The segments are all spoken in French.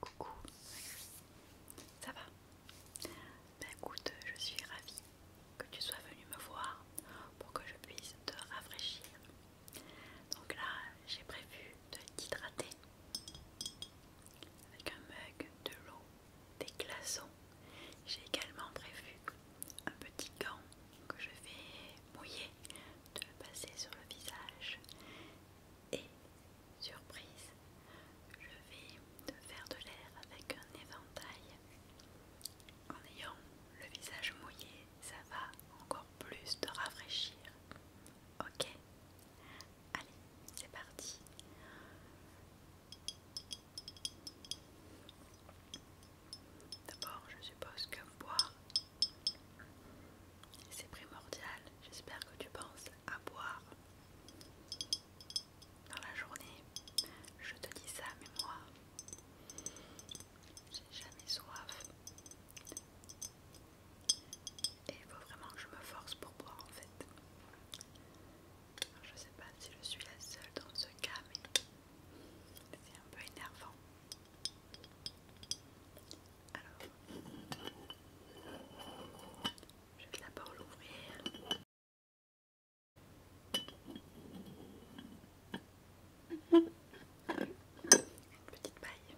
Coucou, ça va Ben écoute, je suis ravie que tu sois venu me voir pour que je puisse te rafraîchir. Donc là, j'ai prévu de t'hydrater avec un mug de l'eau, des glaçons. J'ai également prévu un petit gant que je vais mouiller de le passer sur le visage et surprise je vais te faire de l'air avec un éventail en ayant le visage mouillé ça va encore plus te rafraîchir ok allez c'est parti D'abord, je suppose que boire c'est primordial, j'espère que tu penses à boire dans la journée. Je te dis ça, mais moi, j'ai jamais soif. Et il faut vraiment que je me force pour boire en fait. Je je sais pas si je suis la seule dans ce cas, mais c'est un peu énervant. Alors, je vais d'abord l'ouvrir. Une petite paille.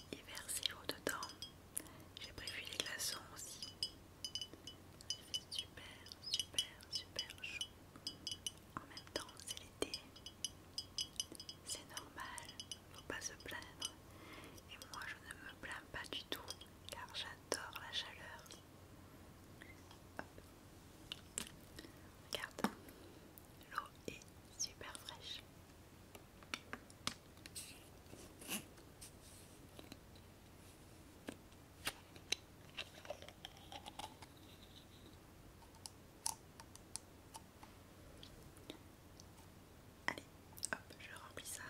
Je vais y verser l'eau dedans. J'ai prévu les glaçons aussi. Il fait super, super, super chaud. En même temps, c'est l'été. C'est normal, faut pas se plaindre. Et moi, je ne me plains pas du tout, car j'adore la chaleur. Regarde, l'eau est super fraîche. Allez, hop, je remplis ça.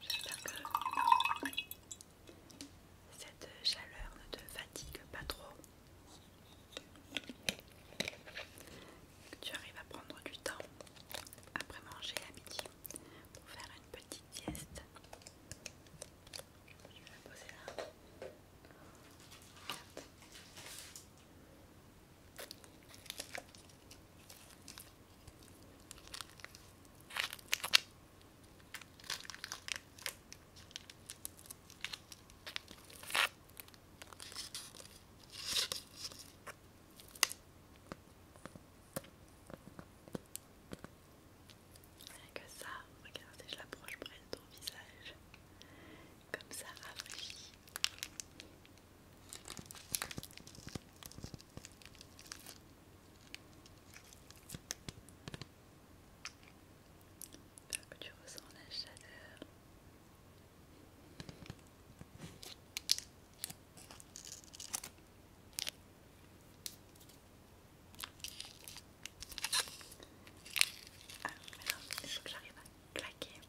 J'espère que cette chaleur ne te fatigue pas trop. tu arrives à prendre du temps après manger à midi pour faire une petite sieste. Je vais la poser là que ça, regardez, je l'approche près de ton visage. Comme ça rafraîchit J'espère tu ressens la chaleur. Ah, mais il faut que j'arrive à claquer.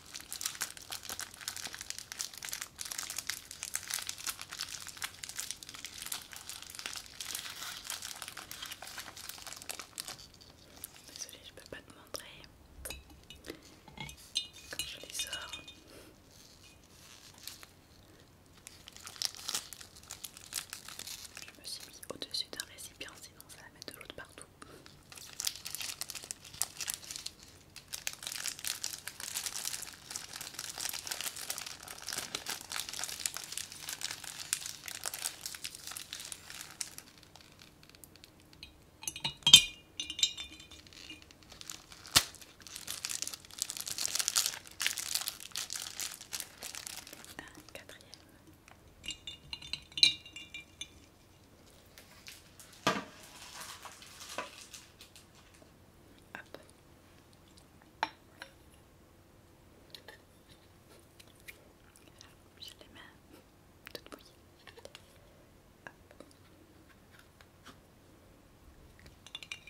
Désolée, je peux pas te montrer quand je les sors. Je me suis mis au-dessus d'un récipient, sinon ça va mettre de l'eau partout. Un quatrième. Hop. les mets toutes bouillées. Je vais voir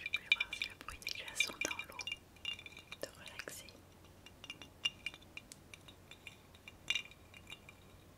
si le bruit des glaçons dans l'eau te relaxer.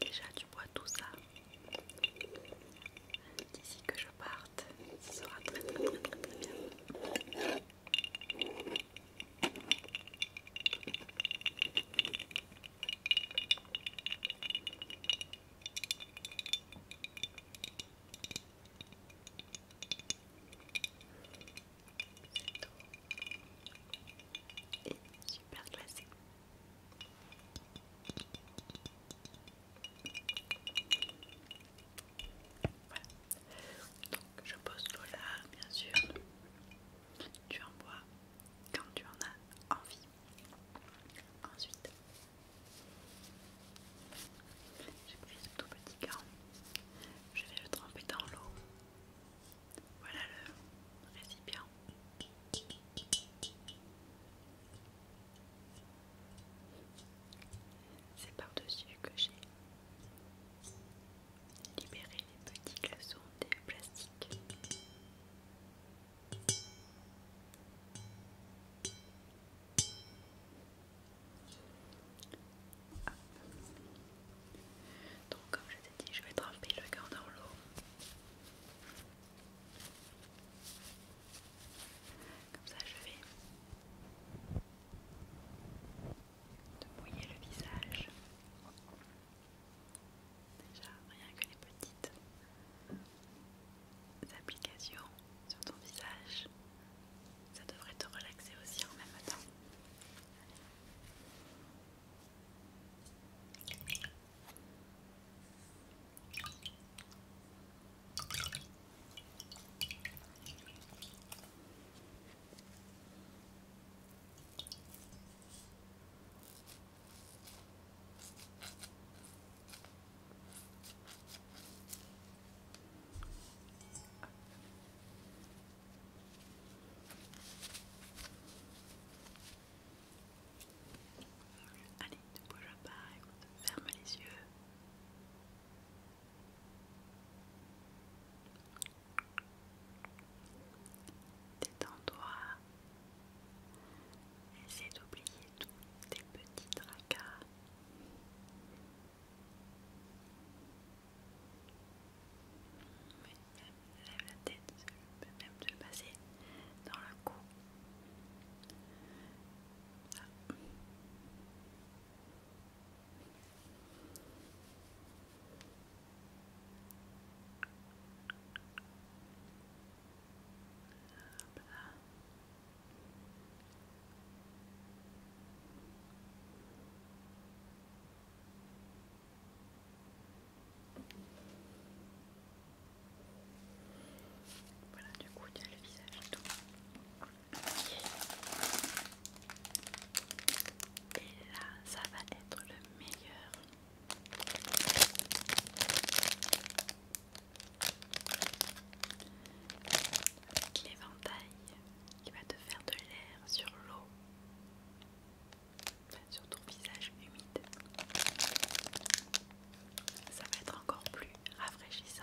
Déjà tu vois tout ça. D'ici que je parte, ça sera très très très, très bien super je pose le là, bien sûr. Tu en bois quand tu en as envie. Ensuite, j'ai pris ce tout petit gant, Je vais le tremper dans l'eau. Voilà le récipient. C'est par-dessus que j'ai libéré les petits glaçons des plastiques. Donc comme je t'ai dit, je vais tremper le cœur dans l'eau. Comme ça, je vais te mouiller le visage. Déjà, rien que les petites applications sur ton visage ça devrait te relaxer aussi en même temps. Allez, ne bouge pas, écoute, ferme les yeux. Détends-toi. Essaie d'oublier tous tes petits tracas lève la tête, je même se passer dans le cou. Voilà, du coup, il le visage et tout. Et là, ça va être le meilleur. Avec l'éventail qui va te faire de l'air sur l'eau, sur ton visage humide. Ça va être encore plus rafraîchissant.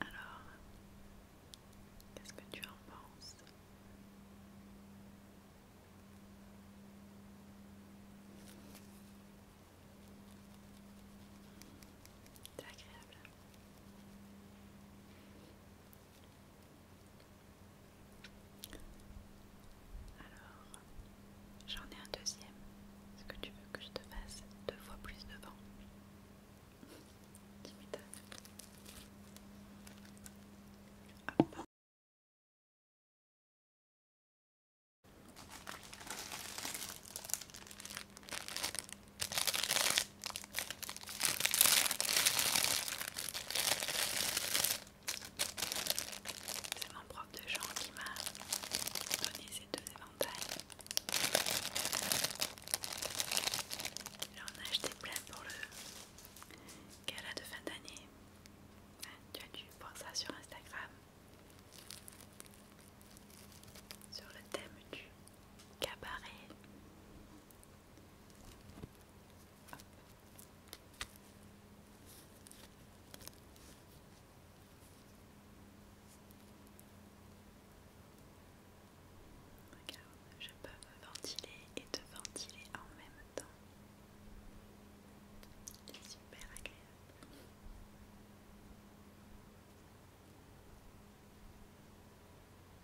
Alors, qu'est-ce que tu en penses C'est agréable. Alors, j'en ai un deuxième. Est-ce que tu veux que je te fasse deux fois plus devant c'est mon prof de Jean qui m'a donné ces deux éventails. J'en ai acheté plein pour le gala de fin d'année. Hein, tu as dû voir ça sur Instagram. Sur le thème du cabaret. Regarde, je peux me ventiler et te ventiler en même temps. C'est super agréable.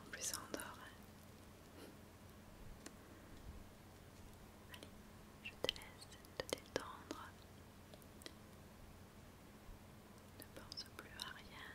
En plus, ça dort. Hein. Allez, je te laisse te détendre. Ne pense plus à rien.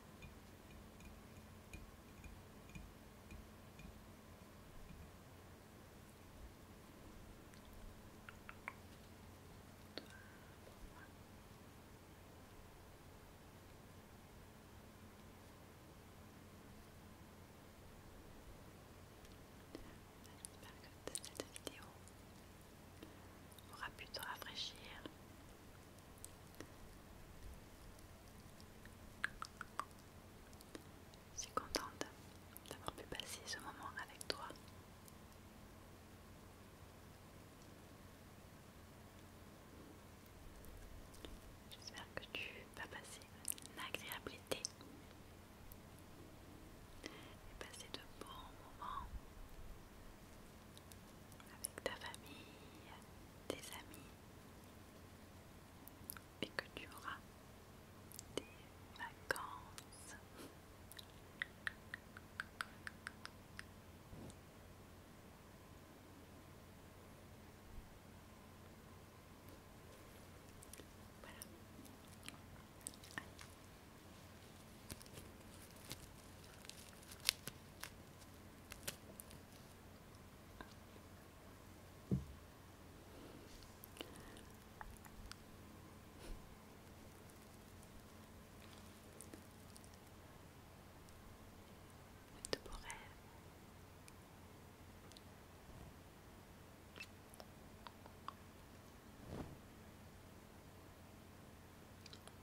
J'espère que cette vidéo aura pu te rafraîchir, je suis contente d'avoir pu passer ce moment avec toi. J'espère que tu vas passer une agréable et passer de bons moments avec ta famille, tes amis, et que tu auras des vacances. De beaux rêve